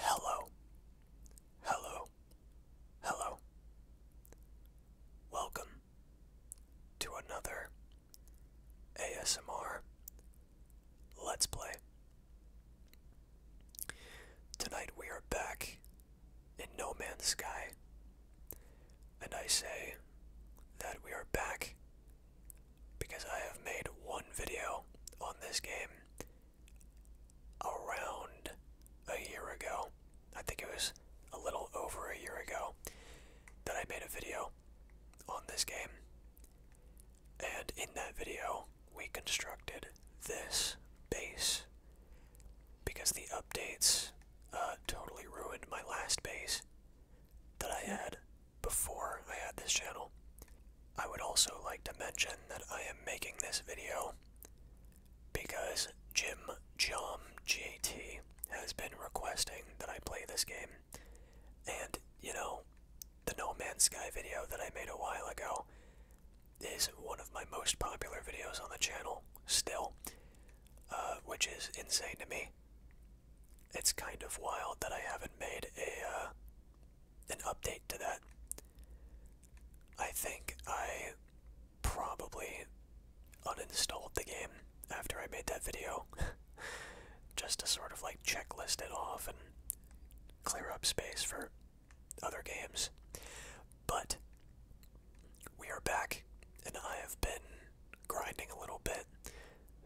Hello, hello, hello. Welcome to another ASMR Let's Play. Tonight we are back in No Man's Sky, and I say that we are back because I have made one video on this game around a year ago. I think it was a little over a year ago that I made a video on this game. And in that video, we constructed this base because the updates uh, totally ruined my last base that I had before I had this channel. I would also like to mention that I am making this video because Jim Jom JT has been requesting that I play this game. And, you know, the No Man's Sky video that I made a while ago is one of my most popular videos on the channel still, uh, which is insane to me. It's kind of wild that I haven't made a uh, an update to that. I think I probably uninstalled the game after I made that video just to sort of like checklist it off and clear up space for other games. But we are back and I have been grinding a little bit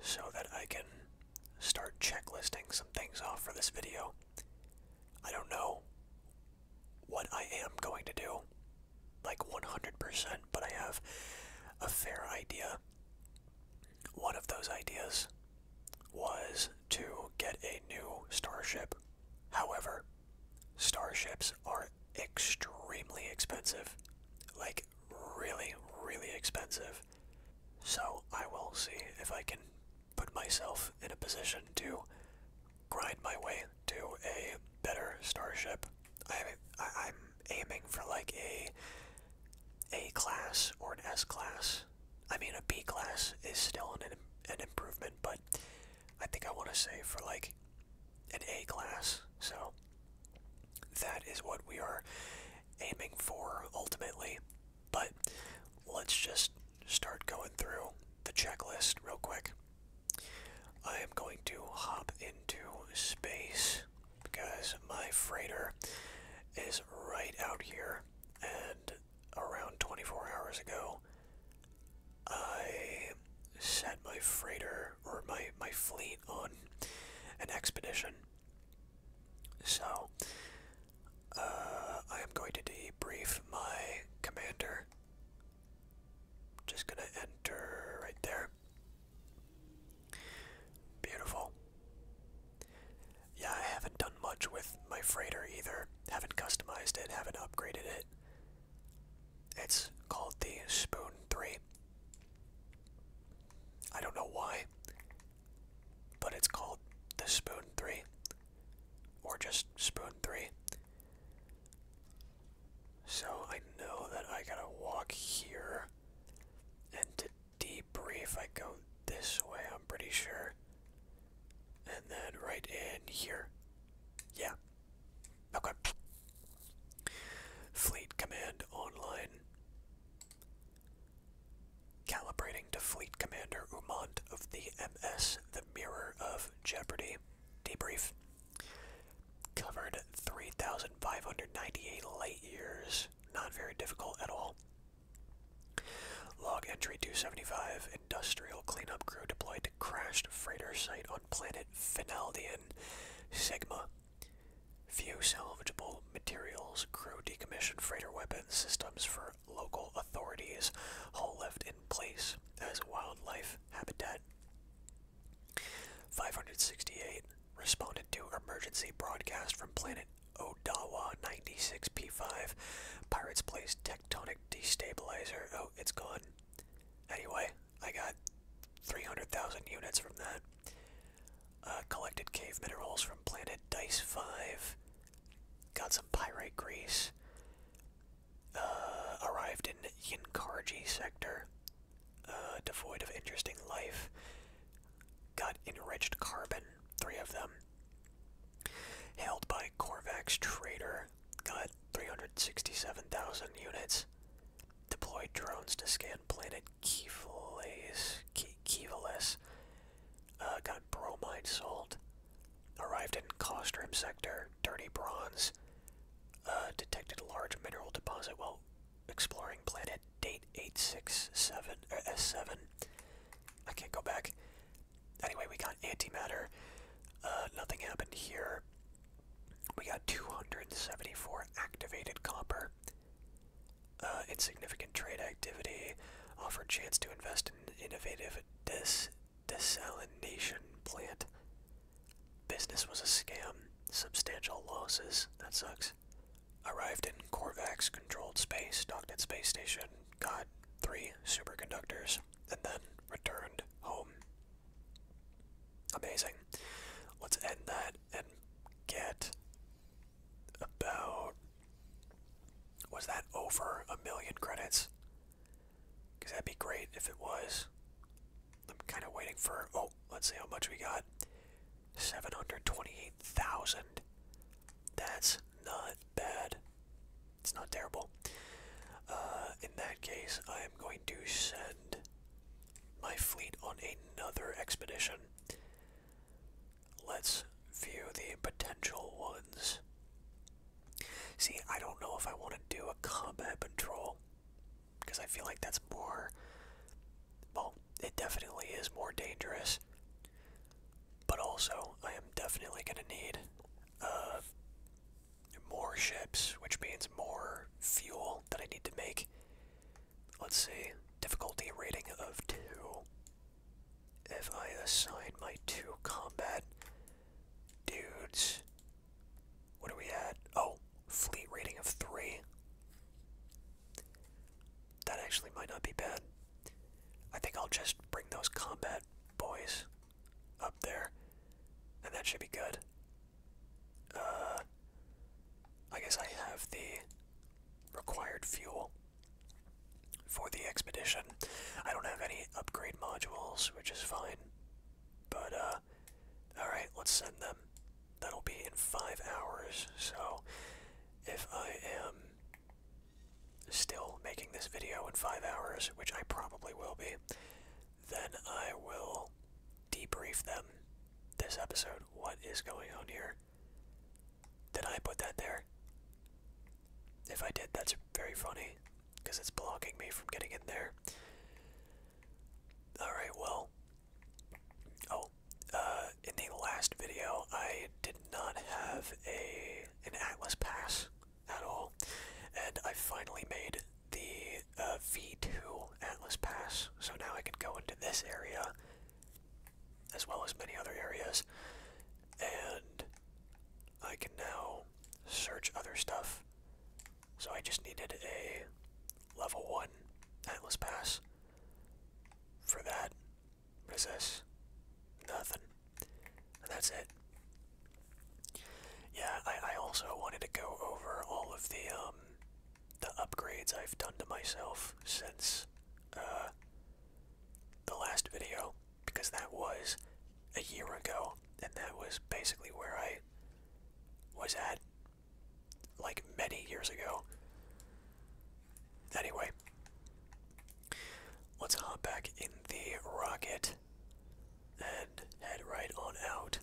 so that I can start checklisting some things off for this video. I don't know what I am going to do, like 100%, but I have a fair idea. One of those ideas was to get a new starship. However, starships are extremely expensive. Like, really, really expensive. So I will see if I can put myself in a position to grind my way to a better starship. I, I'm aiming for like a A class or an S class. I mean, a B class is still an, an improvement, but I think I want to say for like an A class. So that is what we are aiming for ultimately. But let's just start going through the checklist real quick. I am going to hop into space because my freighter is right out here and around 24 hours ago I set my freighter or my, my fleet on an expedition so, uh, I am going to debrief my commander. Just gonna enter right there. Beautiful. Yeah, I haven't done much with my freighter either. Haven't customized it, haven't upgraded it. It's called the Spoon 3. I don't know why, but it's called the Spoon 3, or just Spoon 3. So I know that I gotta walk here, and to Brief, I go this way, I'm pretty sure. And then right in here. Yeah. Okay. Fleet Command Online. Calibrating to Fleet Commander Umont of the MS The Mirror of Jeopardy. Debrief. Covered 3,598 light years. Not very difficult at all. Log entry 275. Industrial cleanup crew deployed to crashed freighter site on planet Finaldian. Sigma. Few salvageable materials crew decommissioned freighter weapons systems for local authorities, all left in place as wildlife habitat. 568 responded to emergency broadcast from planet Odawa 96P5. Pirates placed tectonic destabilizer. Oh, it's gone. Anyway, I got 300,000 units from that. Uh, collected cave minerals from planet Dice 5. Got some pyrite grease. Uh, arrived in Yankarji sector. Uh, devoid of interesting life. Got enriched carbon, three of them. Held by Corvax Trader. Got 367,000 units deployed drones to scan planet Keevalis, uh, got bromide salt. arrived in Costrum sector, dirty bronze, uh, detected large mineral deposit while exploring planet date 867, or uh, S7, I can't go back, anyway we got antimatter, nothing happened here, we got 274 activated copper, uh, insignificant trade activity offered chance to invest in innovative des desalination plant. Business was a scam. Substantial losses. That sucks. Arrived in Corvax controlled space, docked at space station, got three superconductors, and then returned home. Amazing. Let's end that and get about was that over a million credits? Because that'd be great if it was. I'm kind of waiting for. Oh, let's see how much we got. 728,000. That's not bad. It's not terrible. Uh, in that case, I am going to send my fleet on another expedition. Let's view the potential ones. See, I don't know if I want to do a combat patrol because I feel like that's more. Well, it definitely is more dangerous. But also, I am definitely going to need uh, more ships, which means more fuel that I need to make. Let's see. Difficulty rating of 2. If I assign my two combat dudes. What are we at? Oh, fleet rating of 3. That actually might not be bad. I think I'll just bring those combat boys up there, and that should be good. Uh, I guess I have the required fuel for the expedition. I don't have any upgrade modules, which is fine. But, uh, alright, let's send them. That'll be in five hours, so if I am still making this video in five hours, which I probably will be, then I will debrief them this episode. What is going on here? Did I put that there? If I did, that's very funny because it's blocking me from getting in there. Alright, well. Oh, uh, in the last video, I did not have a an Atlas pass at all, and I finally made the uh, V2 Atlas pass. So now I can go into this area as well as many other areas. And I can now search other stuff. So I just needed a level 1 Atlas Pass for that. What is Nothing. And that's it. Yeah, I, I also wanted to go over all of the um, the upgrades I've done to myself since uh, the last video, because that was a year ago, and that was basically where I was at like many years ago. Anyway, let's hop back in the rocket and head right on out.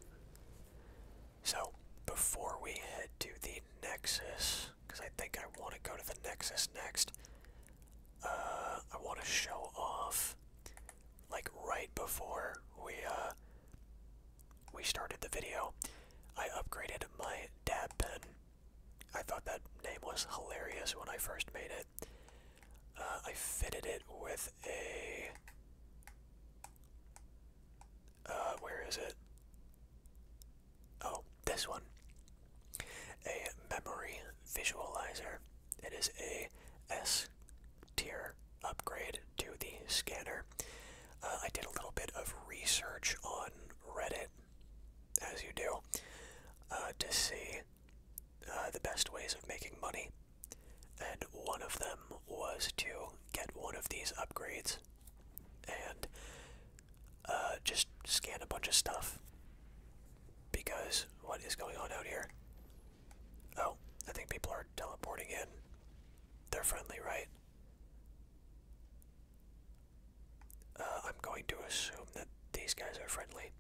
So, before we head to the Nexus, because I think I want to go to the Nexus next, uh, I want to show off, like, right before we, uh, we started the video, I upgraded my dab pen. I thought that name was hilarious when I first made it. Uh, I fitted it with a uh, where is it? Oh, this one. A memory visualizer. It is a S tier upgrade to the scanner. Uh, I did a little bit of research on Reddit, as you do, uh, to see uh, the best ways of making money. And one of them was to get one of these upgrades and uh, just scan a bunch of stuff because what is going on out here? Oh, I think people are teleporting in. They're friendly, right? Uh, I'm going to assume that these guys are friendly.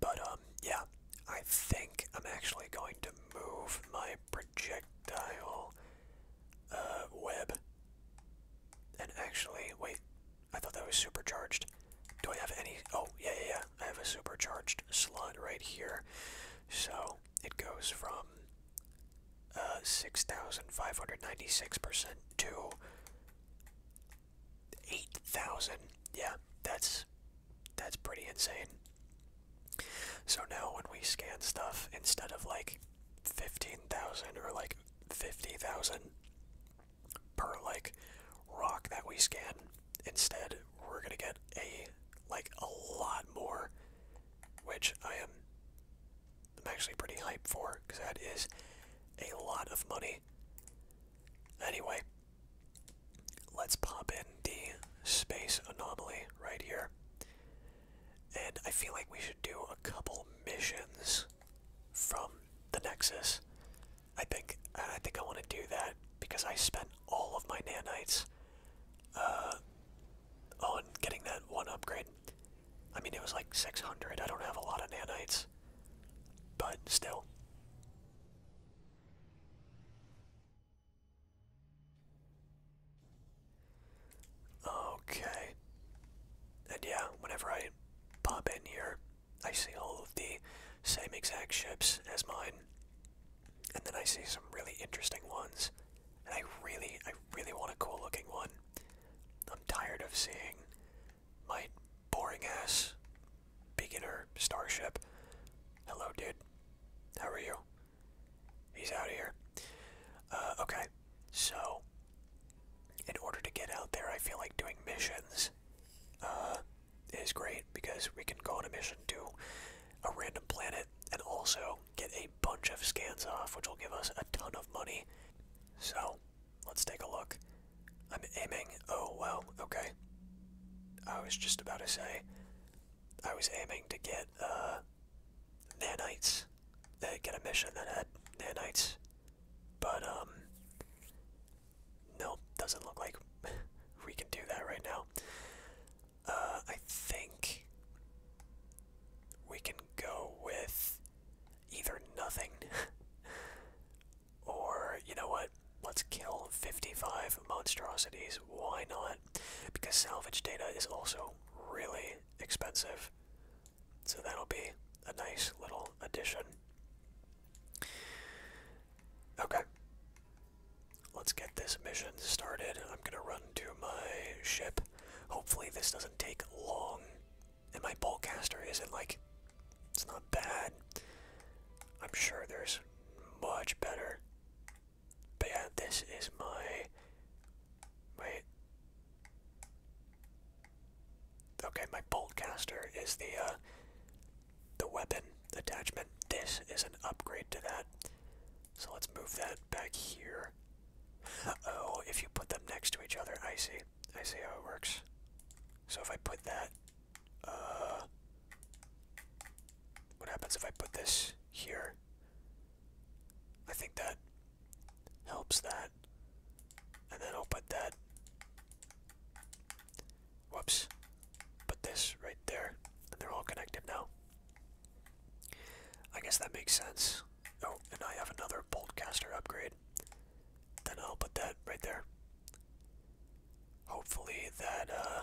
But, um, yeah, I think I'm actually going to move my projectile uh, web. And actually, wait, I thought that was supercharged. Do I have any? Oh, yeah, yeah, I have a supercharged slot right here. So it goes from uh, 6,596% to 8,000. Yeah, that's that's pretty insane. So now when we scan stuff, instead of like 15,000 or like 50,000 per like rock that we scan, instead we're gonna get a like a lot more, which I am I'm actually pretty hyped for because that is a lot of money. Anyway, let's pop in the space anomaly right here. And I feel like we should do a couple missions from the Nexus. I think I think I want to do that because I spent all of my nanites uh, on getting that one upgrade. I mean, it was like 600. I don't have a lot of nanites, but still. Okay. And yeah, whenever I pop in here, I see all of the same exact ships as mine. And then I see some really interesting ones. And I really, I really want a cool looking one. I'm tired of seeing my boring ass beginner starship. Hello, dude. How are you? He's out here. Uh, okay, so in order to get out there, I feel like doing missions uh, is great because we can go on a mission to a random planet and also get a bunch of scans off, which will give us a ton of money. So let's take a look. I'm aiming. Oh, well, okay. I was just about to say, I was aiming to get uh, nanites, uh, get a mission that had nanites, but um, no, doesn't look like we can do that right now. Uh, I think we can go with either nothing or, you know what, let's kill 55 monstrosities. Why not? Because salvage data is also really expensive. So that'll be a nice little addition. Okay. Let's get this mission started. I'm gonna run to my ship. Hopefully this doesn't take long. And my ballcaster isn't like it's not bad. I'm sure there's much better but yeah, this is my wait. Okay, my bolt is the uh, the weapon attachment. This is an upgrade to that. So let's move that back here. oh, if you put them next to each other, I see. I see how it works. So if I put that, uh, what happens if I put this here? I think that helps that. And then I'll put that. Whoops. Put this right there. And they're all connected now. I guess that makes sense. Oh, and I have another boltcaster upgrade. Then I'll put that right there. Hopefully that uh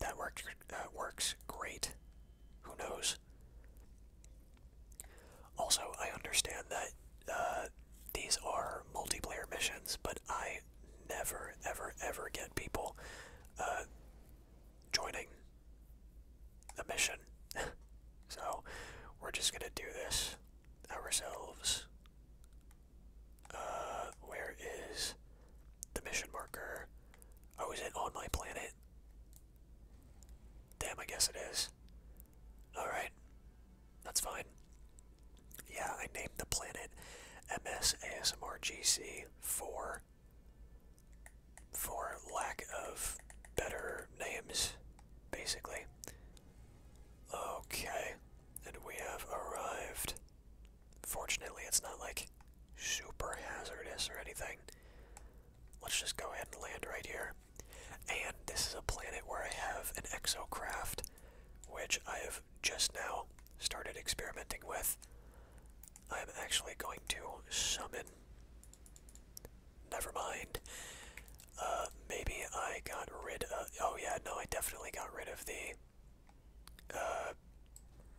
that worked, uh, works great. Who knows? Also, I understand that uh, these are multiplayer missions, but I never, ever, ever get people uh, joining the mission. so, we're just gonna do this ourselves. Uh, where is the mission marker. Oh, I was it on my planet? Damn, I guess it is. Alright. That's fine. Yeah, I named the planet MSASMRGC4 for lack of better names, basically. Okay, and we have arrived Fortunately, it's not like super hazardous or anything. Let's just go ahead and land right here. And this is a planet where I have an exocraft, which I have just now started experimenting with. I'm actually going to summon. Never mind. Uh, maybe I got rid of. Oh, yeah, no, I definitely got rid of the uh,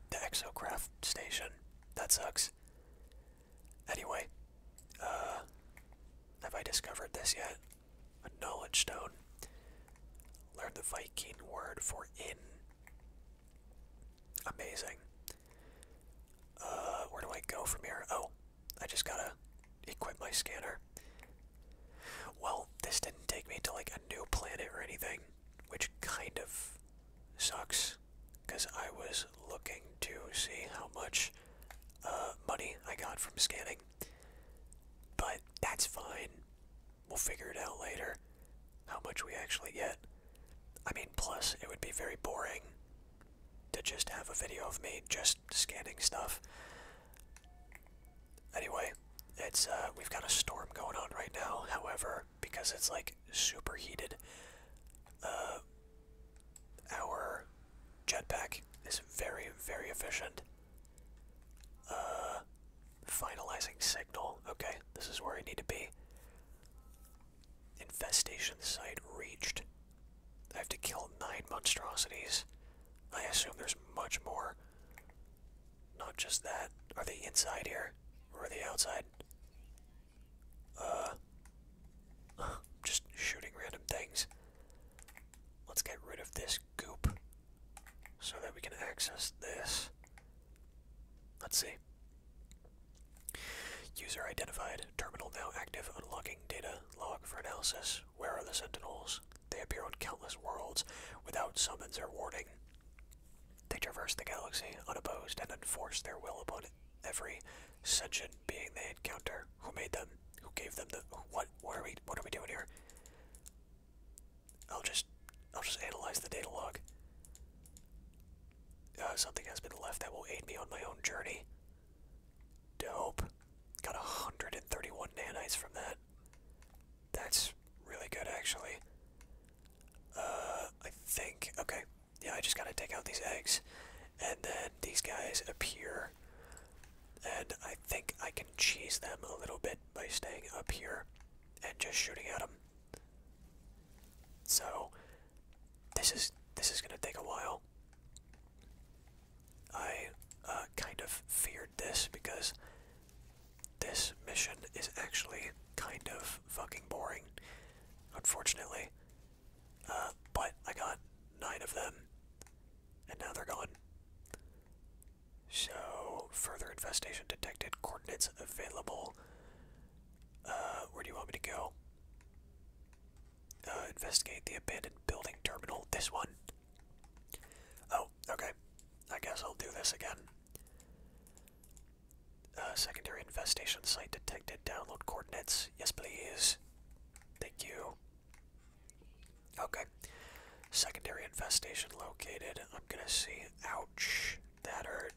the exocraft station. That sucks. Anyway, uh, have I discovered this yet? A knowledge stone. Learn the Viking word for in. Amazing. Uh, where do I go from here? Oh, I just gotta equip my scanner. Well, this didn't take me to like a new planet or anything which kind of sucks because I was looking to see how much uh, money I got from scanning. But that's fine. We'll figure it out later how much we actually get. I mean, plus, it would be very boring to just have a video of me just scanning stuff. Anyway, it's uh, we've got a storm going on right now. However, because it's like superheated. Uh, our jetpack is very, very efficient. Uh, finalizing signal. Okay, this is where I need to be. Infestation site reached. I have to kill nine monstrosities. I assume there's much more. Not just that. Are they inside here? or the outside. Uh, just shooting random things. Let's get rid of this goop so that we can access this. Let's see. User identified. Terminal now active. Unlocking data log for analysis. Where are the sentinels? They appear on countless worlds without summons or warning. They traverse the galaxy unopposed and enforce their will upon every sentient being they encounter. Who made them? Who gave them the? What? What are we? What are we doing here? I'll just, I'll just analyze the data log. Uh, something has been left that will aid me on my own journey. Dope. Got 131 nanites from that. That's really good, actually. Uh, I think. Okay. Yeah, I just gotta take out these eggs. And then these guys appear. And I think I can cheese them a little bit by staying up here and just shooting at them. So this is this is gonna take a while. I uh, kind of feared this because this mission is actually kind of fucking boring, unfortunately. Uh, but I got nine of them, and now they're gone. So, further infestation detected, coordinates available. Uh, where do you want me to go? Uh, investigate the abandoned building terminal. This one. Oh, okay. I guess I'll do this again. Uh, secondary infestation site detected. Download coordinates. Yes, please. Thank you. Okay. Secondary infestation located. I'm gonna see. Ouch. That hurt.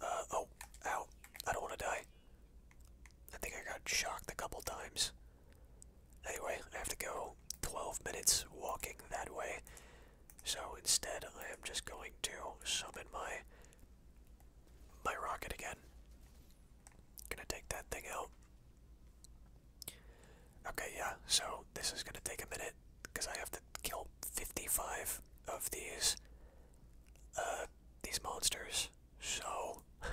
Uh, oh. Ow. I don't want to die. I think I got shocked a couple times. Anyway, I have to go 12 minutes walking that way. So instead, I am just going to summon my my rocket again. Gonna take that thing out. Okay, yeah. So this is gonna take a minute because I have to kill 55 of these uh these monsters. So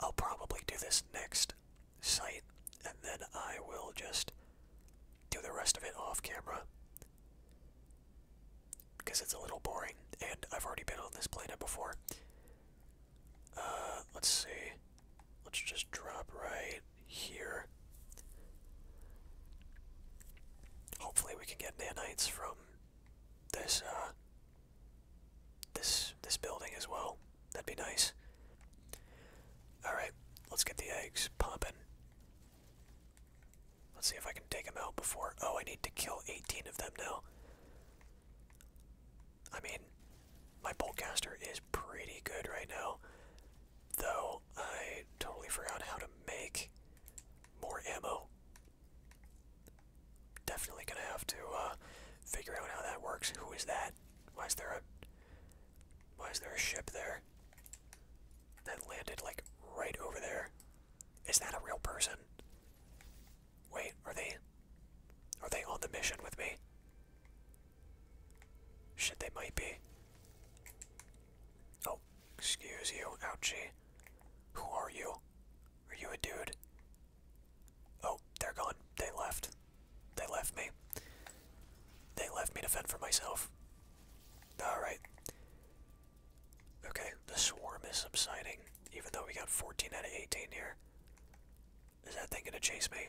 I'll probably do this next site, and then I will just do the rest of it off camera because it's a little boring, and I've already been on this planet before. Uh, let's see. Let's just drop right here. Hopefully, we can get nanites from this uh, this this building as well. That'd be nice. Alright, let's get the eggs pumping. Let's see if I can take them out before. Oh, I need to kill 18 of them now. I mean, my boltcaster is pretty good right now. Though, I totally forgot how to make more ammo. Definitely gonna have to uh, figure out how that works. Who is that? Why is there a why is there a ship there? That landed like right over there. Is that a real person? Wait, are they are they on the mission with me? Shit, they might be. Oh, excuse you, ouchie. Who are you? Are you a dude? Oh, they're gone. They left. They left me. They left me to fend for myself. Alright. Okay, the swarm is subsiding, even though we got 14 out of 18 here. Is that thing gonna chase me?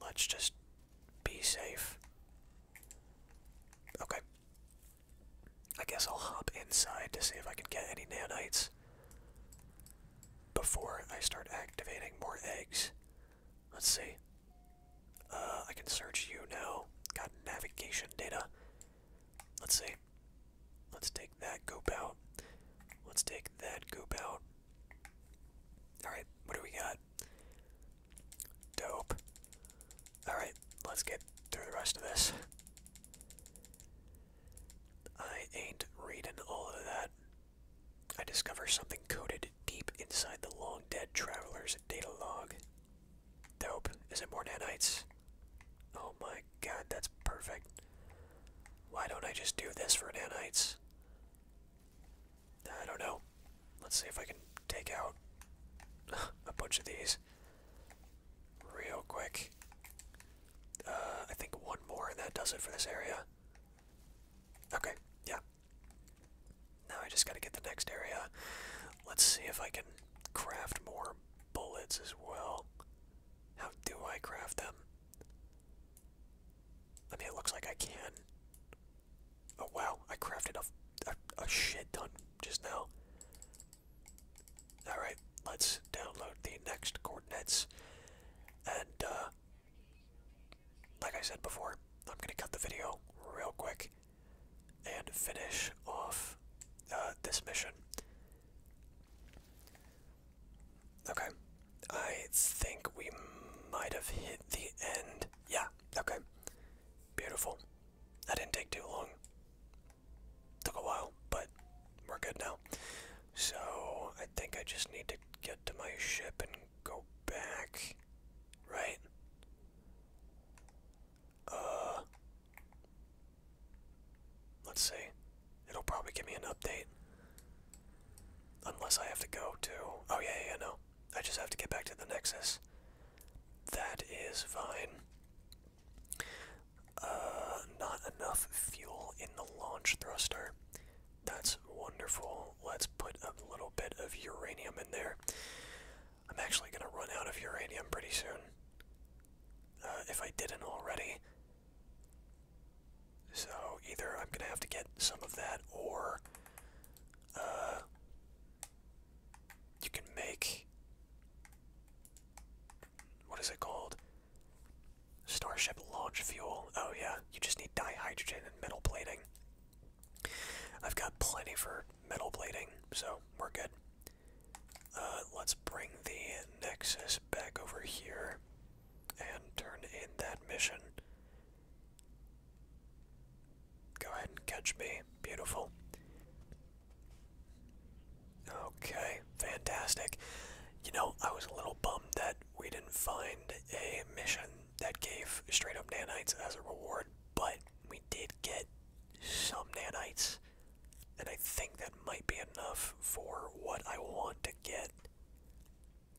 Let's just be safe. Okay. I guess I'll hop inside to see if I can get any nanites before I start activating more eggs. Let's see. Uh, I can search you now. Got navigation data. Let's see. Let's take that goop out. Let's take that goop out. Alright, what do we got? Dope. Alright, let's get through the rest of this. I ain't reading all of that. I discover something coded deep inside the long dead traveler's data log. Dope. Is it more nanites? Oh my god, that's perfect. Why don't I just do this for nanites? I don't know. Let's see if I can take out a bunch of these real quick. Uh, I think one more and that does it for this area. Okay, yeah, now I just gotta get the next area. Let's see if I can craft more bullets as well. How do I craft them? I mean, it looks like I can. Oh wow, I crafted a, a, shit ton just now. Alright, let's download the next coordinates. And, uh, like I said before, I'm gonna cut the video real quick and finish off uh, this mission. Okay, I think we might have hit the end. Yeah, okay. Beautiful. That didn't take too long. Took a while, but we're good now. So, I think I just need to get to my ship and go back, right? Uh, let's see. It'll probably give me an update. Unless I have to go to. Oh, yeah, yeah, no. I just have to get back to the Nexus. That is fine. Uh, not enough fuel in the launch thruster. That's wonderful. Let's put a little bit of uranium in there. I'm actually going to run out of uranium pretty soon. Uh, if I didn't already. So either I'm going to have to get some of that or uh, you can make. What is it called? Starship launch fuel. Oh, yeah. You just need dihydrogen metal plating. I've got plenty for metal plating, so we're good. Uh, let's bring the Nexus back over here and turn in that mission. Go ahead and catch me. Beautiful. Okay, fantastic. You know, I was a little bummed that we didn't find a mission that gave straight up nanites as a reward, but we did get some nanites, and I think that might be enough for what I want to get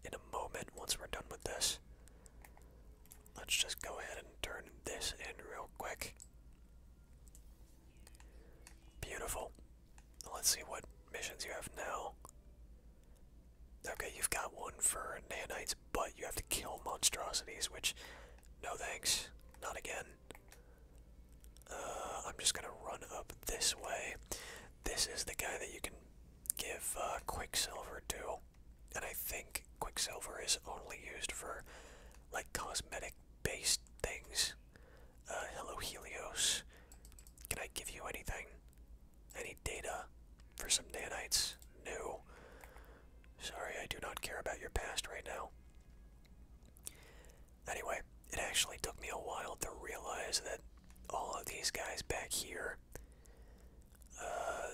in a moment once we're done with this. Let's just go ahead and turn this in real quick. Beautiful. Let's see what missions you have now. Okay, you've got one for nanites, but you have to kill monstrosities, which, no thanks, not again. Uh, I'm just gonna run up this way. This is the guy that you can give uh, Quicksilver to, and I think Quicksilver is only used for like cosmetic-based things. Uh, hello, Helios. Can I give you anything? Any data for some nanites? New. Sorry, I do not care about your past right now. Anyway, it actually took me a while to realize that all of these guys back here uh,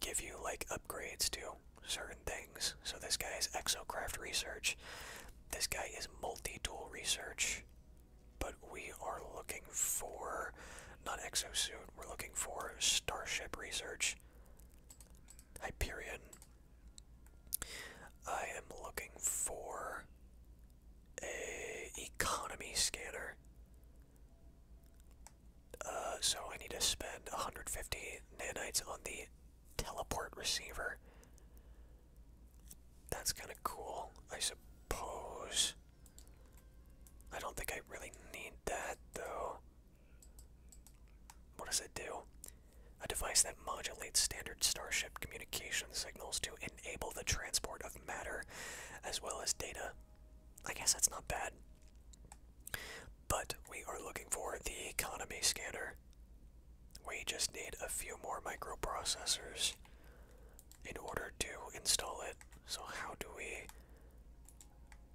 give you like upgrades to certain things. So this guy is exocraft research. This guy is multi-tool research but we are looking for not exosuit, we're looking for starship research. Hyperion. I am looking for a economy scanner. Uh, so I need to spend 150 nanites on the teleport receiver. That's kind of cool, I suppose. I don't think I really need that though. What does it do? A device that modulates standard starship communication signals to enable the transport of matter as well as data. I guess that's not bad. But we are looking for the economy scanner. We just need a few more microprocessors in order to install it. So how do we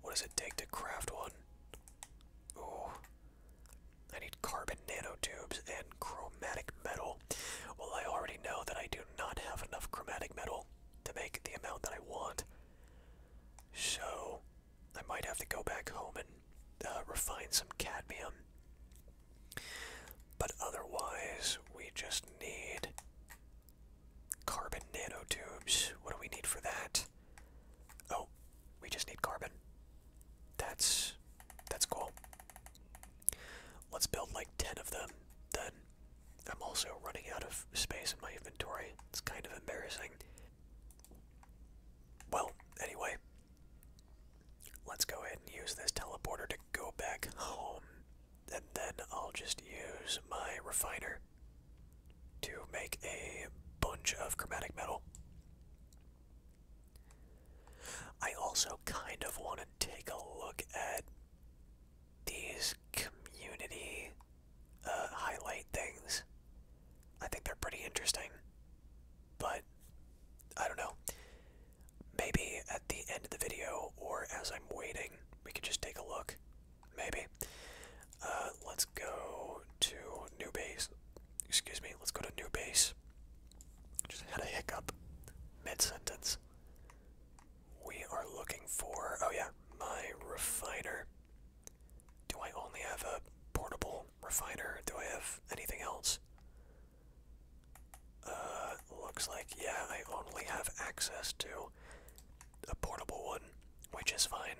what does it take to craft one? Ooh. I need carbon nanotubes and chromatic metal. Well, I already know that I do not have enough chromatic metal to make the amount that I want. So, I might have to go back home and uh, refine some cadmium. But otherwise, we just need Carbon nanotubes. What do we need for that? Oh, we just need carbon. That's that's cool. Let's build like 10 of them then. I'm also running out of space in my inventory. It's kind of embarrassing. Well, anyway, let's go ahead and use this teleporter to go back home, and then I'll just use my refiner to make a bunch of chromatic metal. I also kind of want to take a look at these community uh, highlight things. I think they're pretty interesting, but I don't know. Maybe at the end of the video or as I'm waiting, we could just take a look. Maybe. Uh, let's go to new base. Excuse me, let's go to new base. Just had a hiccup mid sentence. We are looking for. Oh, yeah, my refiner. Do I only have a portable refiner? Do I have anything else? Uh, looks like, yeah, I only have access to a portable one, which is fine.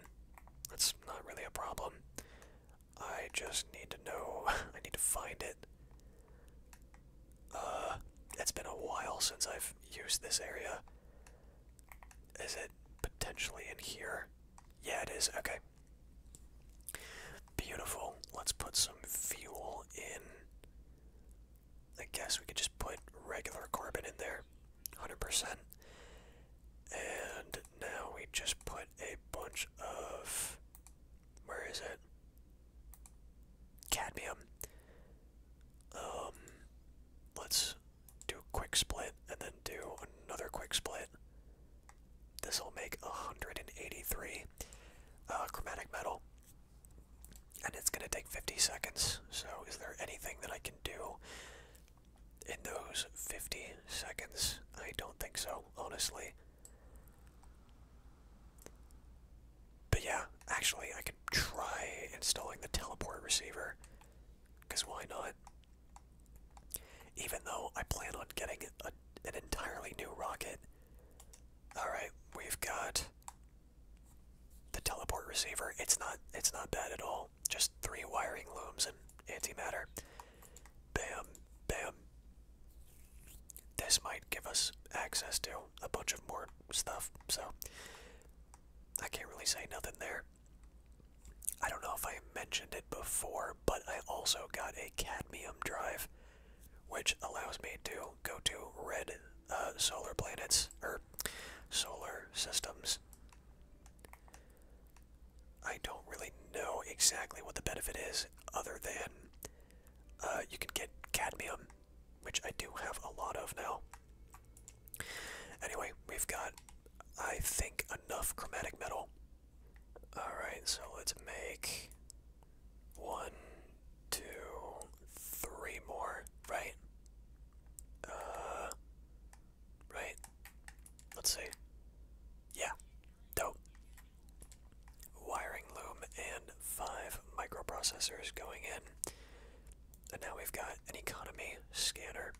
That's not really a problem. I just need to know, I need to find it. Uh, it's been a while since I've used this area. Is it potentially in here? Yeah, it is. Okay. Beautiful. Let's put some fuel in. I guess we could just put regular carbon in there, 100%. And now we just put a bunch of. Where is it? Cadmium. Um, let's do a quick split and then do another quick split. This will make 183 uh, chromatic metal and it's going to take 50 seconds. So, is there anything that I can do in those 50 seconds? I don't think so, honestly. But yeah, actually, I could try installing the teleport receiver. Because why not? Even though I plan on getting an entirely new rocket. Alright, we've got the teleport receiver. It's not it's not bad at all. Just three wiring looms and antimatter. Bam, bam. This might give us access to a bunch of more stuff, so I can't really say nothing there. I don't know if I mentioned it before, but I also got a cadmium drive which allows me to go to red uh, solar planets or solar systems. I don't really know exactly what the benefit is, other than uh, you can get cadmium, which I do have a lot of now. Anyway, we've got, I think, enough chromatic metal. Alright, so let's make one, two, three more, right? Uh, right? Let's see. Yeah, dope. Wiring loom and five microprocessors going in. And now we've got an economy scanner.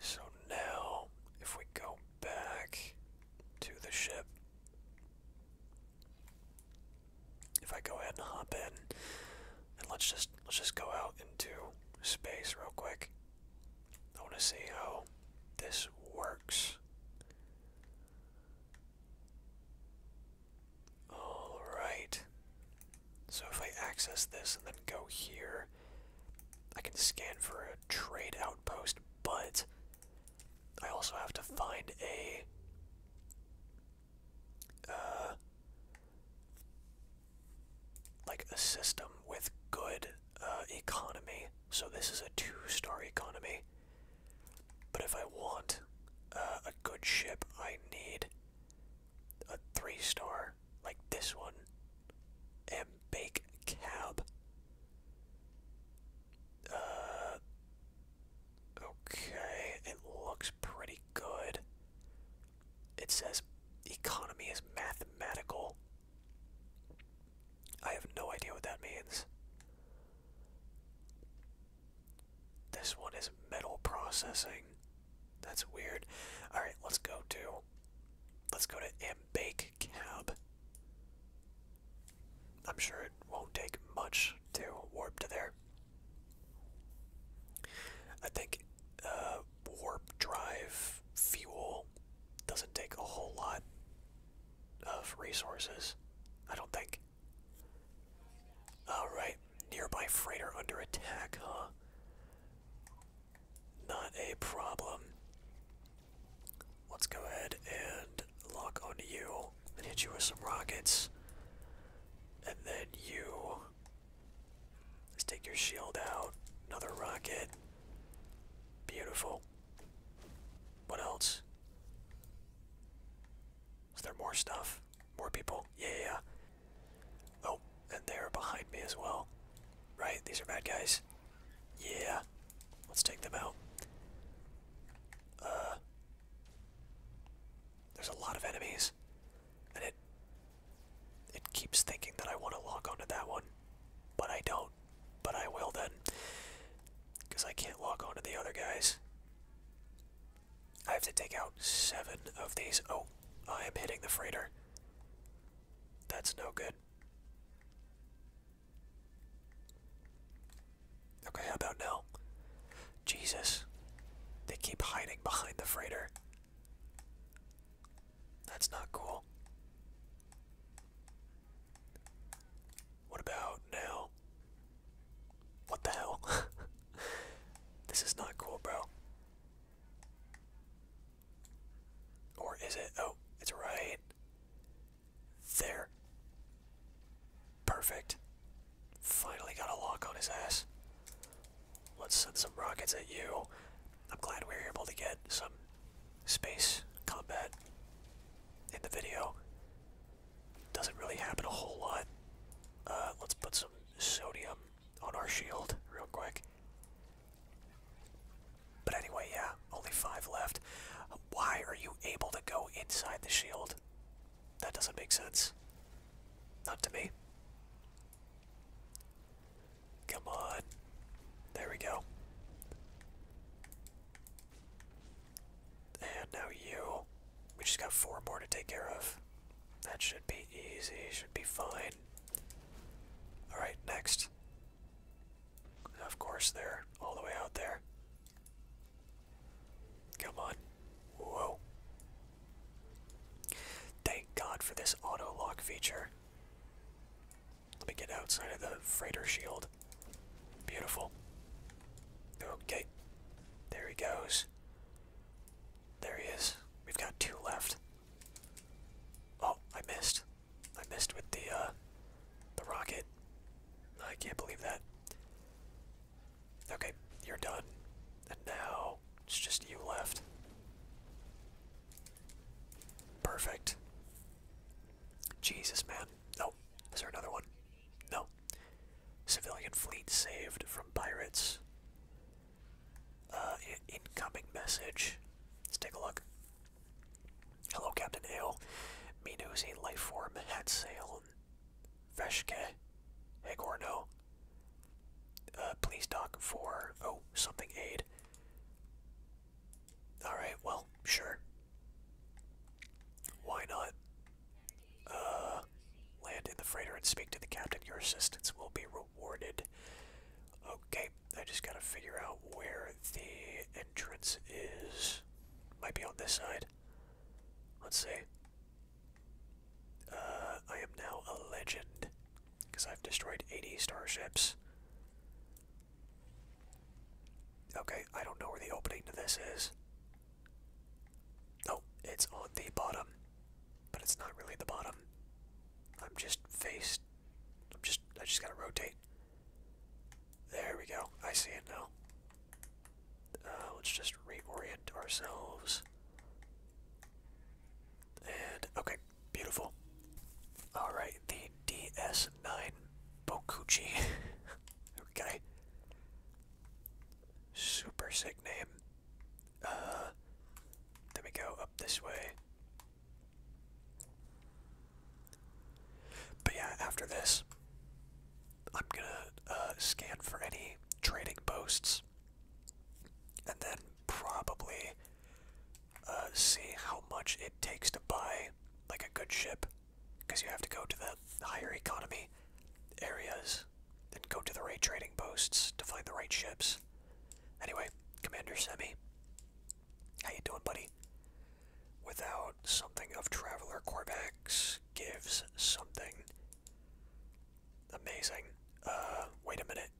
So now, if we go back to the ship, if I go ahead and hop in, and let's just let's just go out into space real quick. I want to see how this works. All right. So if I access this and then go here, I can scan for a trade outpost, but I also have to find a uh, like a system with good uh, economy. So this is a two-star economy. But if I want uh, a good ship, I need a three-star like this one. And bake cab. Uh, okay, it looks pretty good. It says economy is mathematical. I have no idea what that means. This one is metal processing. That's weird. Alright, let's go to let's go to Ambake Cab. I'm sure it won't take much to warp to there. I think uh, warp drive fuel doesn't take a whole lot of resources. I don't think. Alright, nearby freighter under attack, huh? Not a problem. Let's go ahead and lock onto you and hit you with some rockets. And then you. Let's take your shield out. Another rocket. Beautiful. What else? Is there more stuff? More people? Yeah, yeah. Oh, and they're behind me as well. Right, these are bad guys. Yeah. Let's take them out. Uh, there's a lot of enemies, and it it keeps thinking that I want to log onto that one, but I don't. But I will then, because I can't log onto the other guys. I have to take out seven of these. Oh, I am hitting the freighter. That's no good. Okay, how about now? Jesus. They keep hiding behind the freighter. That's not cool. What about now? What the hell? this is not cool, bro. Or is it? Oh, it's right. There. Perfect. Finally got a lock on his ass. Let's send some rockets at you. I'm glad we were able to get some space combat in the video. Doesn't really happen a whole lot. Uh, let's put some sodium on our shield real quick. But anyway, yeah, only five left. Why are you able to go inside the shield? That doesn't make sense. Not to me. Come on. There we go. And now you. We just got four more to take care of. That should be easy, should be fine. Alright, next. Of course, they're all the way out there. Come on. Whoa. Thank God for this auto lock feature. Let me get outside of the freighter shield. Beautiful. Okay. There he goes. There he is. We've got two left. Oh, I missed. I missed with the uh the rocket. I can't believe that. Okay, you're done. And now it's just you left. Perfect. Jesus, man. No. Is there another one? No. Civilian fleet saved from pirates. Uh, incoming message. Let's take a look. Hello, Captain Hale. Minu's a life form had sail. Veshke. Hegorno. Uh, please dock for, oh, something aid. Alright, well, sure. Why not? Uh, land in the freighter and speak to the captain. Your assistance will be rewarded. Okay, I just gotta figure out where the entrance is. Might be on this side. Let's see. Uh, I am now a legend because I've destroyed 80 starships. Okay, I don't know where the opening to this is. Oh, it's on the bottom, but it's not really the bottom. I'm just faced. I'm just. I just gotta rotate. There we go. I see it now. Uh, let's just reorient ourselves. And, okay, beautiful. Alright, the DS9 Bokuchi. okay. Super sick name. Uh, then go up this way. But yeah, after this, I'm gonna uh, scan for any trading posts, and then probably uh, see how much it takes to buy like a good ship, because you have to go to the higher economy areas and go to the right trading posts to find the right ships. Anyway, Commander Semi, how you doing, buddy? without something of Traveler Corvax gives something amazing. Uh, wait a minute.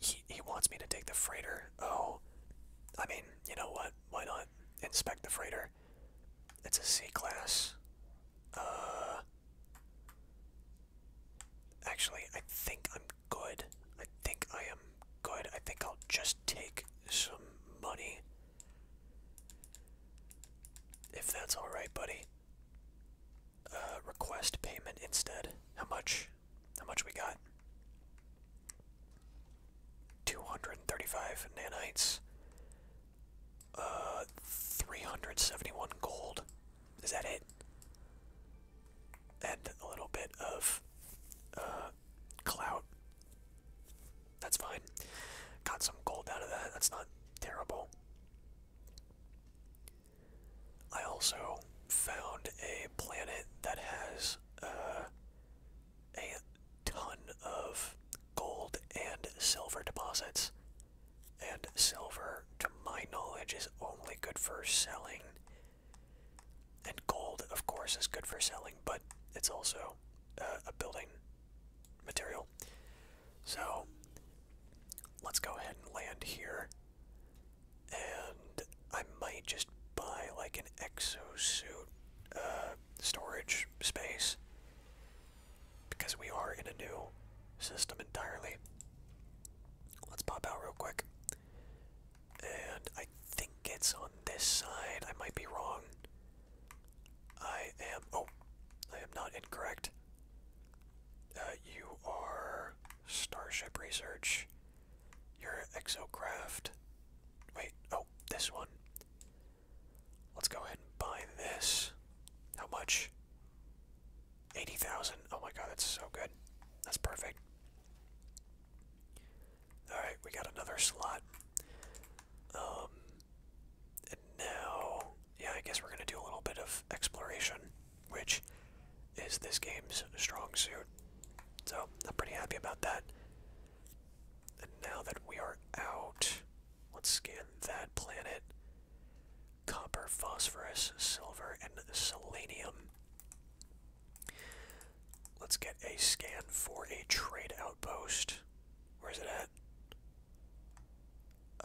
He, he wants me to take the freighter. Oh, I mean, you know what? Why not inspect the freighter? It's a C-class. Uh, actually, I think I'm good. I think I am good. I think I'll just take some money. If that's alright, buddy. Uh, request payment instead. How much? How much we got? 235 nanites. Uh, 371 gold. Is that it? And a little bit of, uh, uh, That's fine. Got some gold out of that. That's not terrible. I also found a planet that has uh, a ton of gold and silver deposits. And silver, to my knowledge, is only good for selling and gold, of course, is good for selling, but it's also uh, a building material. So let's go ahead and land here. And I might just buy like an exosuit uh, storage space because we are in a new system entirely. Let's pop out real quick. And think it's on this side. I might be wrong. I am. Oh, I am not incorrect. Uh, you are Starship Research. Your Exocraft. Wait, oh, this one. Let's go ahead and buy this. How much? 80,000. Oh my god, that's so good. That's perfect. Alright, we got another slot. Um, and now, yeah, I guess we're going to do a little bit of exploration, which is this game's strong suit. So, I'm pretty happy about that. And now that we are out, let's scan that planet. Copper, phosphorus, silver, and selenium. Let's get a scan for a trade outpost. Where's it at?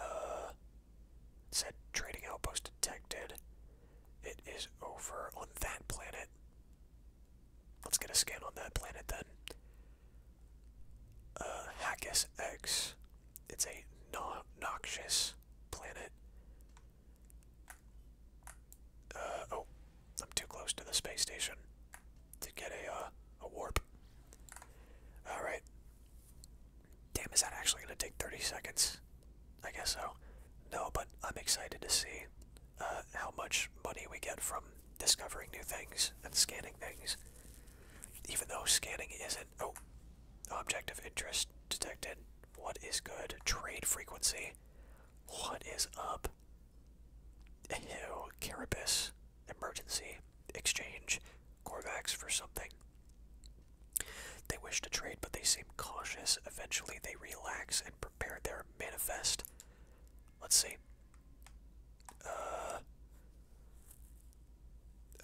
Uh, said trading outpost detected. It is over on that planet. Let's get a scan on that planet then. Uh, Hackus X. It's a no noxious planet. Uh, oh, I'm too close to the space station to get a, uh, a warp. Alright. Damn, is that actually going to take 30 seconds? I guess so. No, but I'm excited to see uh, how much money we get from discovering new things and scanning things. Even though scanning isn't... Oh, object of interest detected. What is good? Trade frequency. What is up? Ew, Carabas. Emergency. Exchange. Corvax for something. They wish to trade, but they seem cautious. Eventually, they relax and prepare their manifest. Let's see. Uh.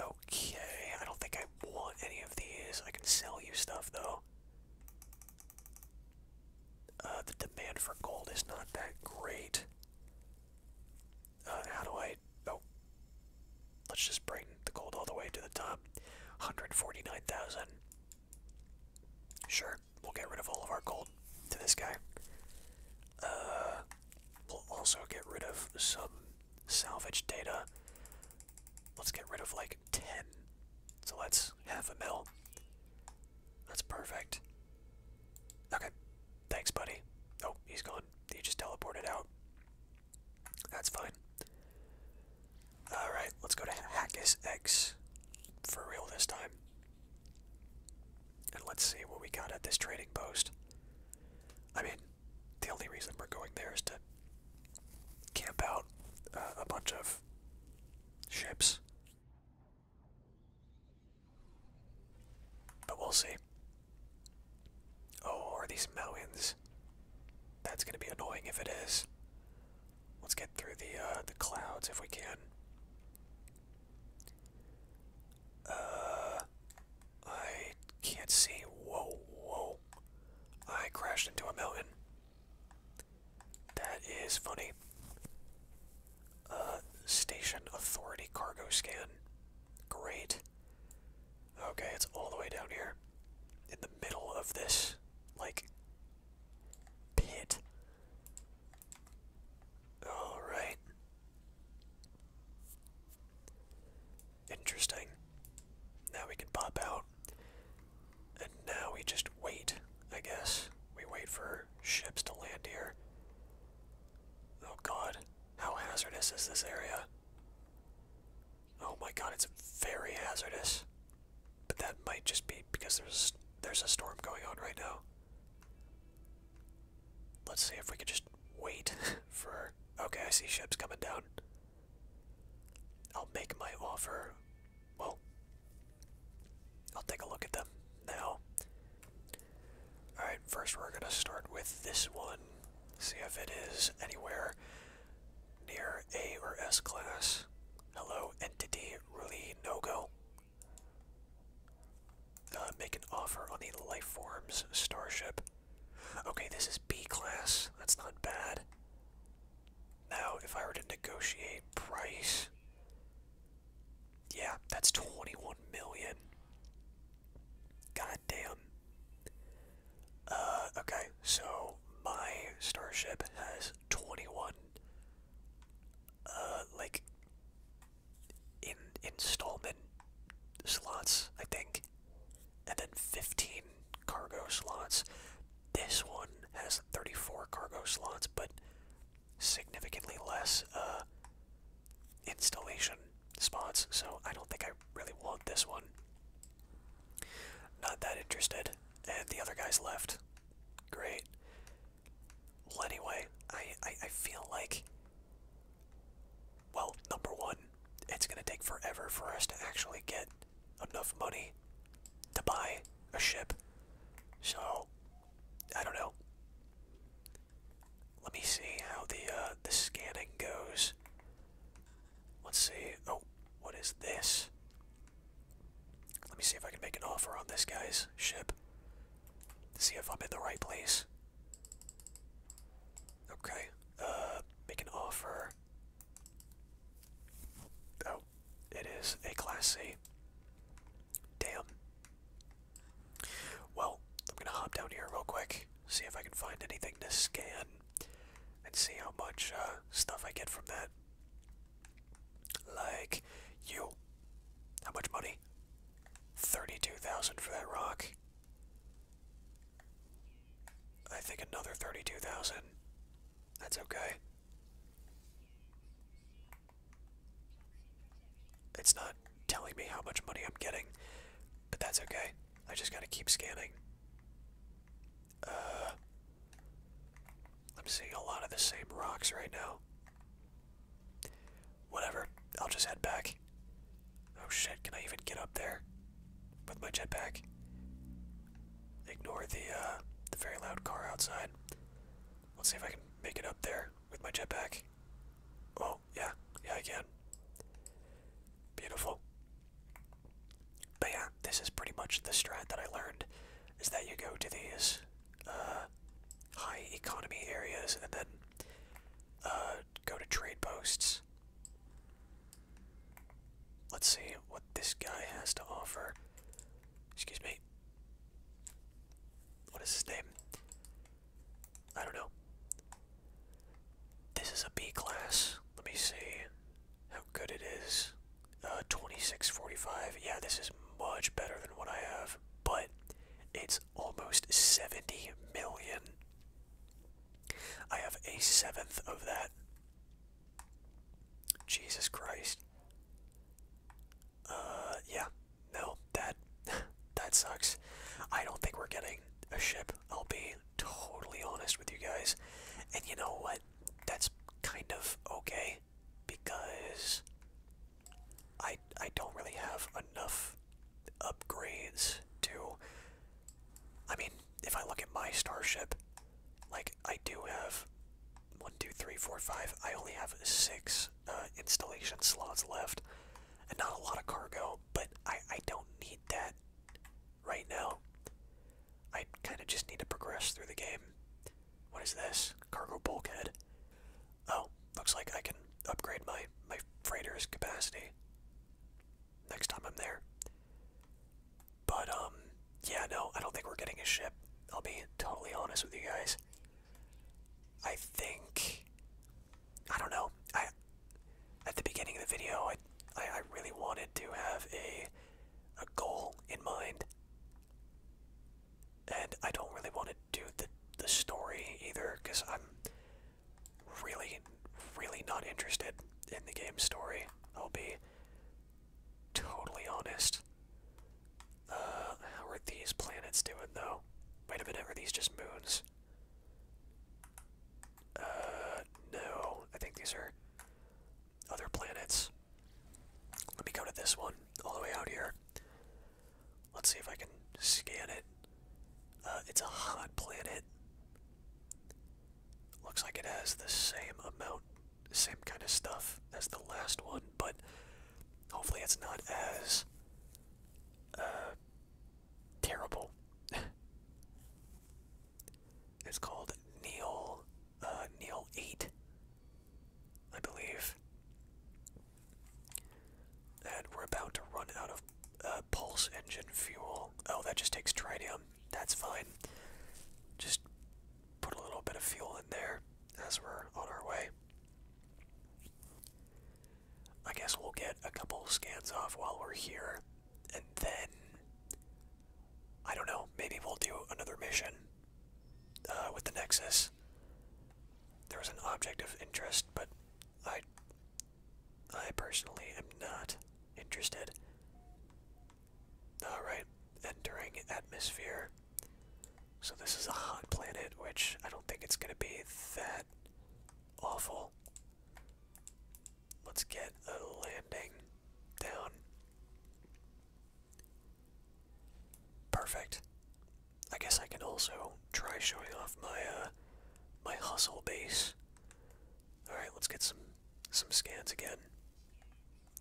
Okay, I don't think I want any of these. I can sell you stuff, though. Uh, the demand for gold is not that great. Uh, how do I? Oh, let's just bring the gold all the way to the top. Hundred forty-nine thousand. Sure, we'll get rid of all of our gold to this guy. Uh, we'll also get rid of some salvage data. Let's get rid of like 10. So that's half a mil. That's perfect. Okay. Thanks, buddy. Oh, he's gone. He just teleported out. That's fine. Alright, let's go to Hackus X for real this time. And let's see what we got at this trading post. I mean, the only reason we're going there is to camp out uh, a bunch of ships but we'll see. Oh, are these mountains? That's gonna be annoying if it is. Let's get through the uh, the clouds if we can. Uh, I can't see. Whoa, whoa! I crashed into a mountain. That is funny. Uh, station authority cargo scan. Great. Okay, it's all the way down here. In the middle of this, like, pit. Alright. Interesting. Now we can pop out. And now we just wait, I guess. We wait for ships to land here. Oh god, how hazardous is this area? Oh my god, it's very hazardous. But that might just be because there's there's a storm going on right now. Let's see if we could just wait for okay, I see ships coming down. I'll make my offer. Well, I'll take a look at them now. Alright, first we're going to start with this one. See if it is anywhere near A or S class. Hello, entity, really no go. Uh, make an offer on the life forms starship. Okay, this is B class. That's not bad. Now, if I were to negotiate price, yeah, that's 21 million. God damn. Uh, okay, so my starship has 21, uh, like, in installment slots, I think, and then 15 cargo slots. This one has 34 cargo slots, but significantly less uh, installation spots, so I don't think I really want this one. Not that interested. And the other guy's left. Great. Well, anyway, I, I feel like. Well, number one, it's going to take forever for us to actually get enough money to buy a ship. So, I don't know. Let me see how the uh, the scanning goes. Let's see. Oh, what is this? Let me see if I can make an offer on this guy's ship. See if I'm in the right place. Okay. Uh, make an offer. Oh, it is a Class C. Damn. Well, I'm gonna hop down here real quick, see if I can find anything to scan, and see how much uh, stuff I get from that. Like, you. How much money? 32,000 for that rock. I think another 32,000. That's okay. It's not telling me how much money I'm getting, but that's okay. I just gotta keep scanning. Uh, I'm seeing a lot of the same rocks right now. Whatever, I'll just head back. Oh shit, can I even get up there? With my jetpack? Ignore the uh, the very loud car outside. Let's see if I can make it up there with my jetpack. Oh yeah, yeah I can. Beautiful. But yeah, this is pretty much the strat that I learned, is that you go to these uh, high economy areas and then uh, go to trade posts. Let's see what this guy has to offer. Excuse me. What is his name? I don't know. This is a B class. Let me see how good it is. Uh, 2645. Yeah, this is much better than what I have, but it's almost 70 million. I have a seventh of that. Jesus Christ. Uh, yeah. No, that that sucks. I don't think we're getting a ship. I'll be totally honest with you guys. And you know what? That's kind of okay because I I don't really have enough upgrades to I mean, if I look at my starship, like I do have one, two, three, four, five. I only have six uh, installation slots left, and not a lot of cargo. But I I don't need that right now. I kind of just need to progress through the game. What is this? Cargo bulkhead. Oh, looks like I can upgrade my my freighter's capacity next time I'm there. But um, yeah, no, I don't think we're getting a ship. I'll be totally honest with you guys. I think I don't know. I at the beginning of the video, I I, I really wanted to have a a goal in mind, and I don't really want to do the the story either because I'm really really not interested in the game story. I'll be totally honest. Uh, how are these planets doing, though? Wait a minute, are these just moons? Uh, no. I think these are other planets. Let me go to this one, all the way out here. Let's see if I can scan it. Uh, it's a hot planet. Looks like it has the same amount same kind of stuff as the last one, but hopefully it's not as uh, terrible. it's called Neil uh, Neil Eight, I believe. And we're about to run out of uh, pulse engine fuel. Oh, that just takes tritium. That's fine. Just put a little bit of fuel in there as we're on our way. I guess we'll get a couple scans off while we're here, and then I don't know. Maybe we'll do another mission uh, with the Nexus. There was an object of interest, but I, I personally am not interested. Alright, entering atmosphere. So this is a hot planet, which I don't think it's going to be that awful. Let's get a landing down. Perfect. I guess I can also try showing off my uh, my hustle base. All right, let's get some some scans again.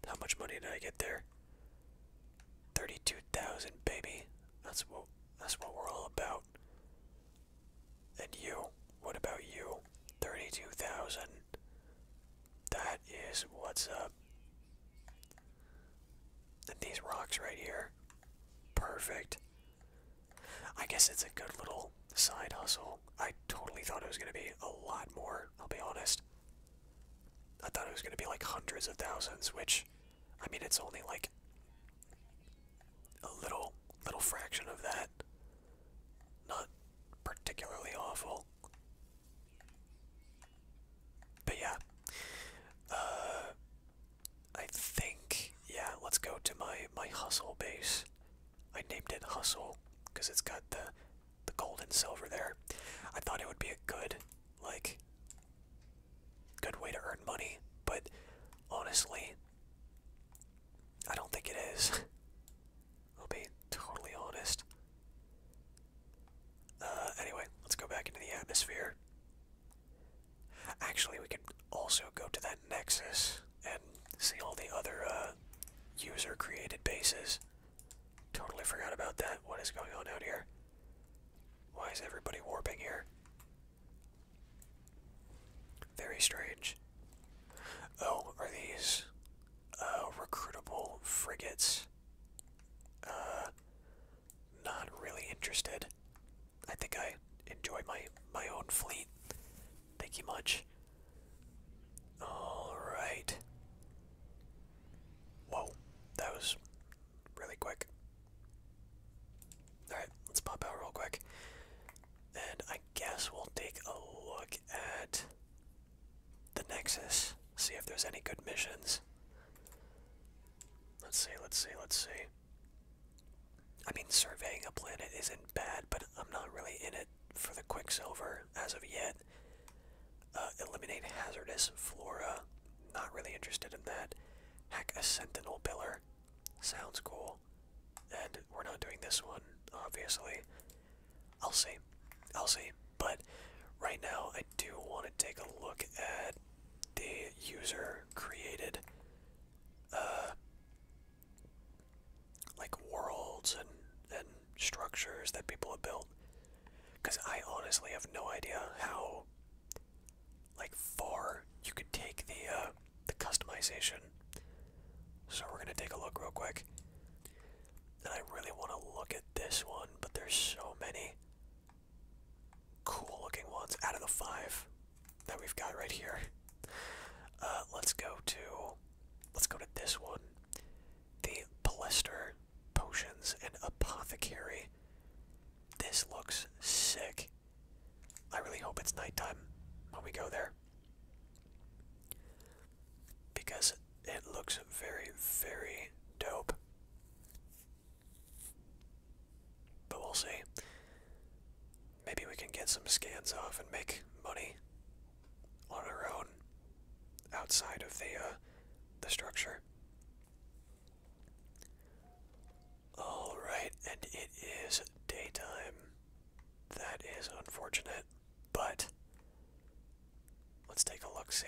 How much money did I get there? Thirty-two thousand, baby. That's what that's what we're all about. And you, what about you? Thirty-two thousand. That is what's up. And these rocks right here. Perfect. I guess it's a good little side hustle. I totally thought it was gonna be a lot more, I'll be honest. I thought it was going to be like hundreds of thousands, which, I mean, it's only like a little, little fraction of that. Not particularly awful. But yeah, uh, I think yeah. Let's go to my my hustle base. I named it hustle because it's got the the gold and silver there. I thought it would be a good, like, good way to earn money, but honestly, I don't think it is. I'll be totally honest. Uh, anyway, let's go back into the atmosphere. Actually, we could also go to that nexus and see all the other uh, user-created bases. Totally forgot about that. What is going on out here? Why is everybody warping here? Very strange. Oh, are these uh, recruitable frigates? Uh, not really interested. I think I enjoy my my own fleet. Thank you much. All right. Whoa, that was really quick. Alright, let's pop out real quick. And I guess we'll take a look at the Nexus, see if there's any good missions. Let's see, let's see, let's see. I mean, surveying a planet isn't bad, but I'm not really in it for the Quicksilver as of yet. Uh, eliminate hazardous flora. Not really interested in that. Heck, a sentinel pillar. Sounds cool. And we're not doing this one, obviously. I'll see. I'll see. But right now, I do want to take a look at the user created, uh, like worlds and and structures that people have built. Because I honestly have no idea how, like, far you could take the uh, the customization. So we're gonna take a look real quick. And I really want to look at this one, but there's so many cool-looking ones out of the five that we've got right here. Uh, let's go to let's go to this one the blister potions and apothecary. This looks sick. I really hope it's nighttime when we go there. Because it looks very, very dope. But we'll see. Maybe we can get some scans off and make money on our own outside of the uh, the structure. All right, and it is daytime. That is unfortunate, but let's take a look. See,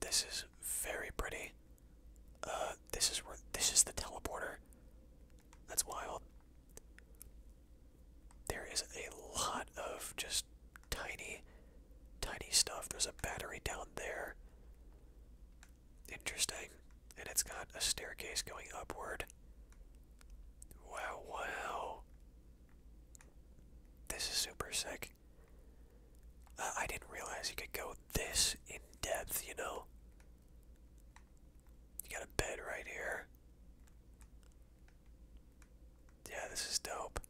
this is very pretty. Uh, this is where this is the teleporter. That's wild. There is a lot of just tiny, tiny stuff. There's a battery down there. Interesting. And it's got a staircase going upward. Wow, wow. This is super sick. Uh, I didn't realize you could go this in depth, you know? You got a bed right here. Yeah, this is dope.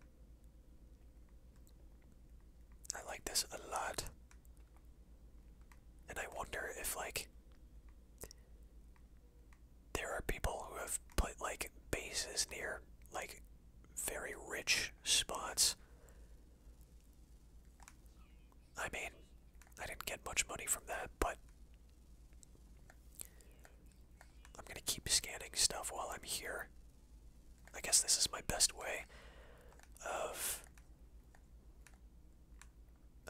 I like this a lot. And I wonder if, like, there are people who have put, like, bases near, like, very rich spots. I mean, I didn't get much money from that, but I'm gonna keep scanning stuff while I'm here. I guess this is my best way of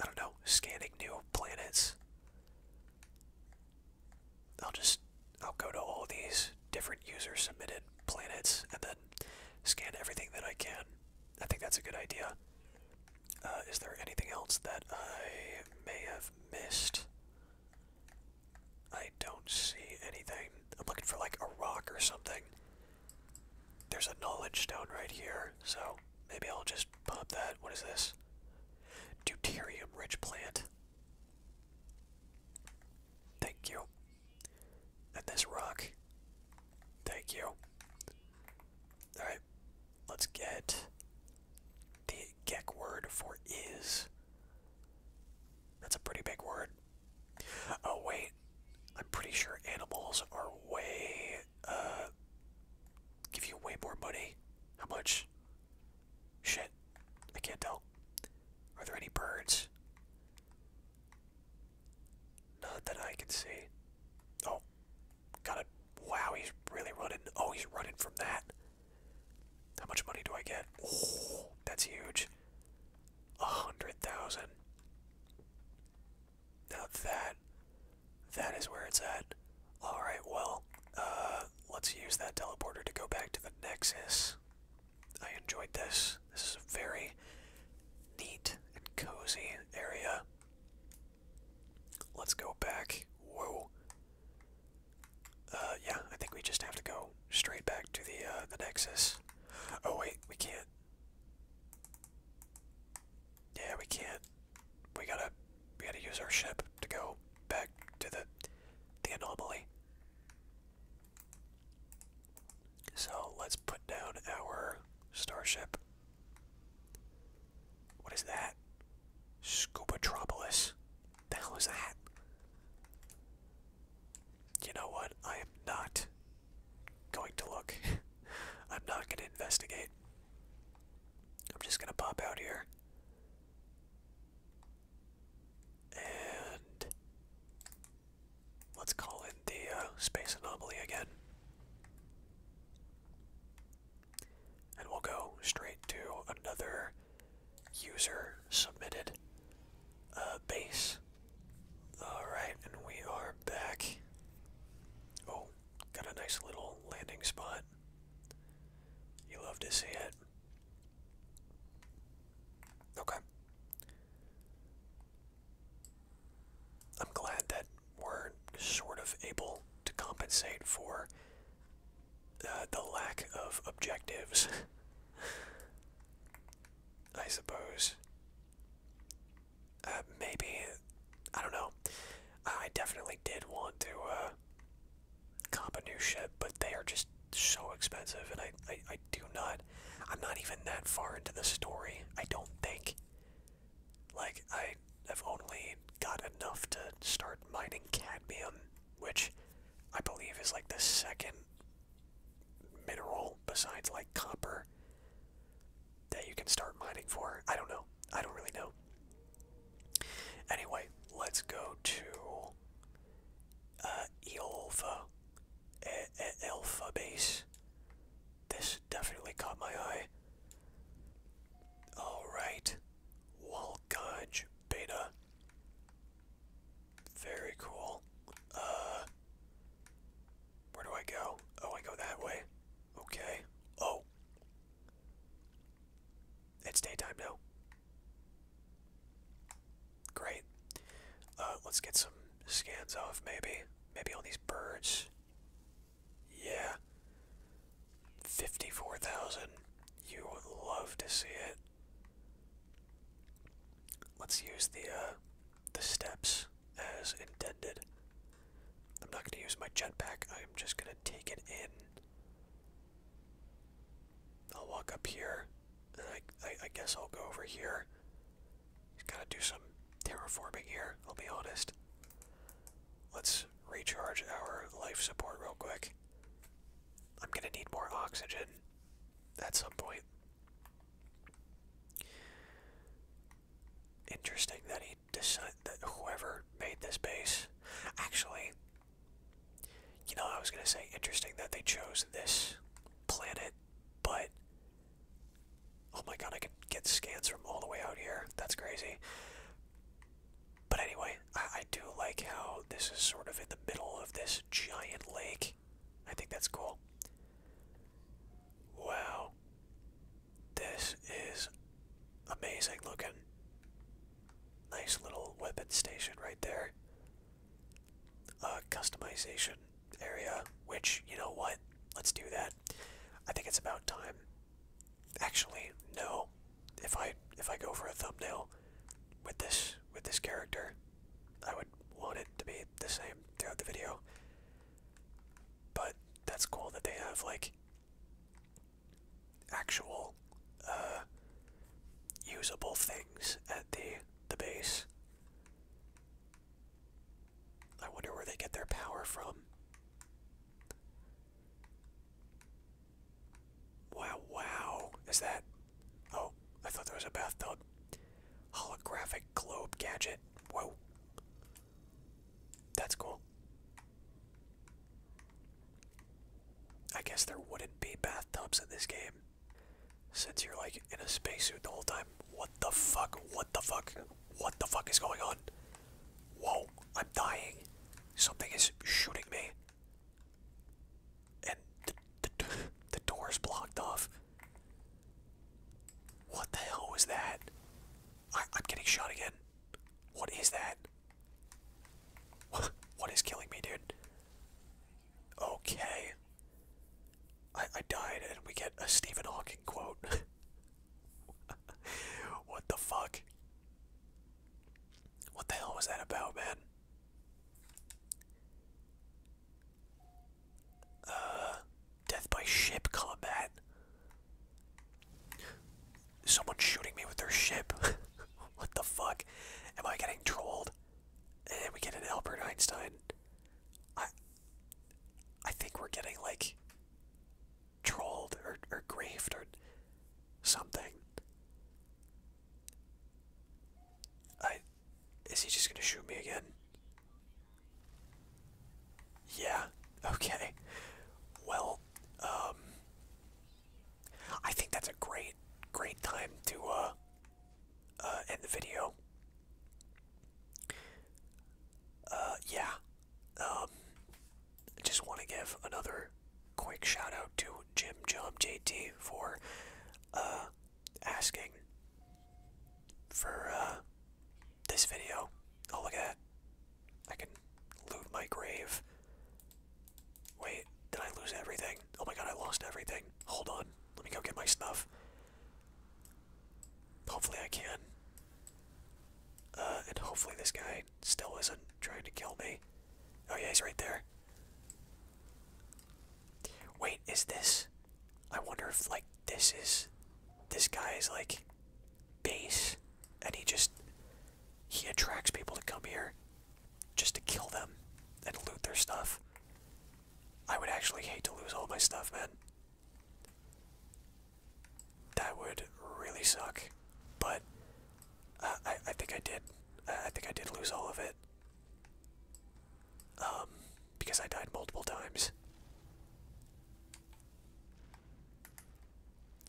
I don't know, scanning new planets. I'll just I'll go to all these different user submitted planets and then scan everything that I can. I think that's a good idea. Uh, is there anything else that I may have missed? I don't see anything. I'm looking for like a rock or something. There's a knowledge stone right here, so maybe I'll just pop that. What is this? Deuterium rich plant. Thank you. And this rock. Thank you. Alright. Let's get the geck word for is. That's a pretty big word. Oh, wait. I'm pretty sure animals are way. Uh, give you way more money. How much? Shit. I can't tell. Are there any birds? Not that I can see. Oh, Got it. Wow, he's really running. Oh, he's running from that. How much money do I get? Oh, that's huge. A hundred thousand. Now that, that is where it's at. All right, well, uh, let's use that teleporter to go back to the Nexus. I enjoyed this. This is a very neat and cozy area. Let's go back. Whoa. Uh, yeah, I think we just have to go straight back to the, uh, the Nexus. Oh, wait, we can't. Yeah, we can't. We gotta, we gotta use our ship to go back to the, the anomaly. So let's put down our starship what is that? Scubatropolis. The hell is that? You know what? I am not going to look. I'm not going to investigate. I'm just going to pop out here. And let's call in the uh, space anomaly again. And we'll go straight to another user submitted uh, base. Alright, and we are back. Oh, got a nice little landing spot. You love to see it. Okay. I'm glad that we're sort of able to compensate for uh, the lack of objectives, I suppose. Uh, maybe, I don't know. I definitely did want to uh, a new ship, but they are just so expensive, and I, I do not. I'm not even that far into the story, I don't think. Like, I have only got enough to start mining cadmium, which I believe is like the second mineral besides like copper that you can start mining for. I don't know. I don't really know. Anyway, let's go to uh, Eolva, e Alpha Base. This definitely caught my eye. Alright, Walgudge Beta. Very cool. Uh, where do I go? Oh, I go that way. Okay. Oh. It's daytime now. Great. Uh, let's get some scans of maybe. Maybe on these birds. Yeah. 54,000. You would love to see it. Let's use the uh, the steps as intended. I'm not going to use my jetpack. I'm just going to take it in. I'll walk up here, and I, I, guess I'll go over here. Just gotta do some terraforming here, I'll be honest. Let's recharge our life support real quick. I'm gonna need more oxygen at some point. Interesting that he decided that whoever made this base. Actually, you know, I was gonna say interesting that they chose this planet, but oh my god, I can get scans from all the way out here. That's crazy. But anyway, I, I do like how this is sort of in the middle of this giant lake. I think that's cool. Wow. This is amazing looking. Nice little weapon station right there. Uh, customization area, which, you know what? Let's do that. I think it's about time. Actually, no. If I if I go for a thumbnail with this with this character, I would want it to be the same throughout the video. But that's cool that they have like actual uh, usable things at the the base. I wonder where they get their power from. Wow, wow. Is that. Oh, I thought there was a bathtub. Holographic globe gadget. Whoa. That's cool. I guess there wouldn't be bathtubs in this game. Since you're like in a spacesuit the whole time. What the fuck? What the fuck? What the fuck is going on? Whoa, I'm dying. Something is shooting me. And the, the, door is blocked off. What the hell was that? I, am getting shot again. What is that? What is killing me, dude? Okay. I, I died and we get a Stephen Hawking quote. what the fuck? What the hell was that about, man? Uh, death by ship combat. Someone shooting me with their ship. what the fuck? Am I getting trolled? And we get an Albert Einstein. I I think we're getting like trolled or, or grieved or something. I. Is he just gonna shoot me again? Yeah, okay. Well, um. I think that's a great, great time to, uh. Uh, end the video. Uh, yeah. I um, just want to give another quick shout out to Jim Jump JT for uh, asking for uh, this video. Oh look at that! I can loot my grave. Wait, did I lose everything? Oh my god, I lost everything. Hold on, let me go get my stuff. Hopefully I can. Uh, and hopefully this guy still isn't trying to kill me. Oh yeah, he's right there. Wait, is this... I wonder if, like, this is... This guy is, like, base, and he just... He attracts people to come here just to kill them and loot their stuff. I would actually hate to lose all my stuff, man. That would really suck. But uh, I, I think I did. I think I did lose all of it. Um, because I died multiple times.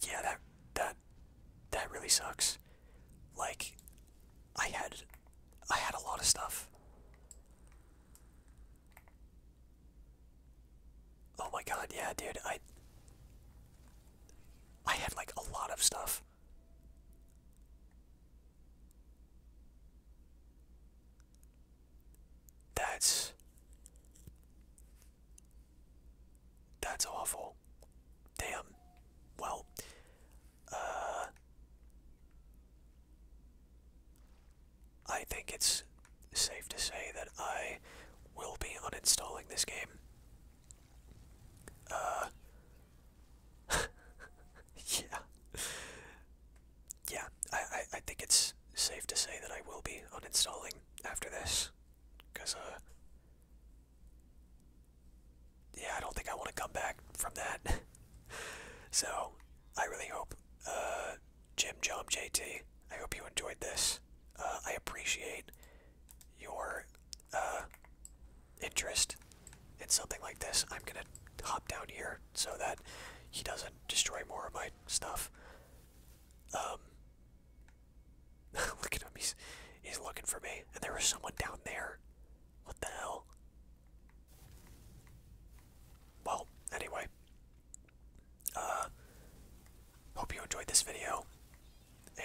Yeah, that that that really sucks. Like, I had I had a lot of stuff. Oh my god, yeah, dude. I I had like a lot of stuff. That's That's awful. Damn. Well, uh I think it's safe to say that I will be uninstalling this game. Uh. yeah. Yeah, I, I, I think it's safe to say that I will be uninstalling after this. Because, uh. Yeah, I don't think I want to come back from that. so, I really hope, uh, Jim Jom JT, I hope you enjoyed this. Uh, I appreciate your uh, interest in something like this. I'm gonna hop down here so that he doesn't destroy more of my stuff. Um, look at him. He's looking for me, and there is someone down there. What the hell? Well, anyway, uh, hope you enjoyed this video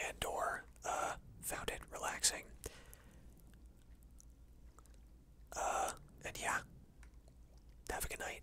and or uh, found it relaxing. Uh, and yeah, have a good night.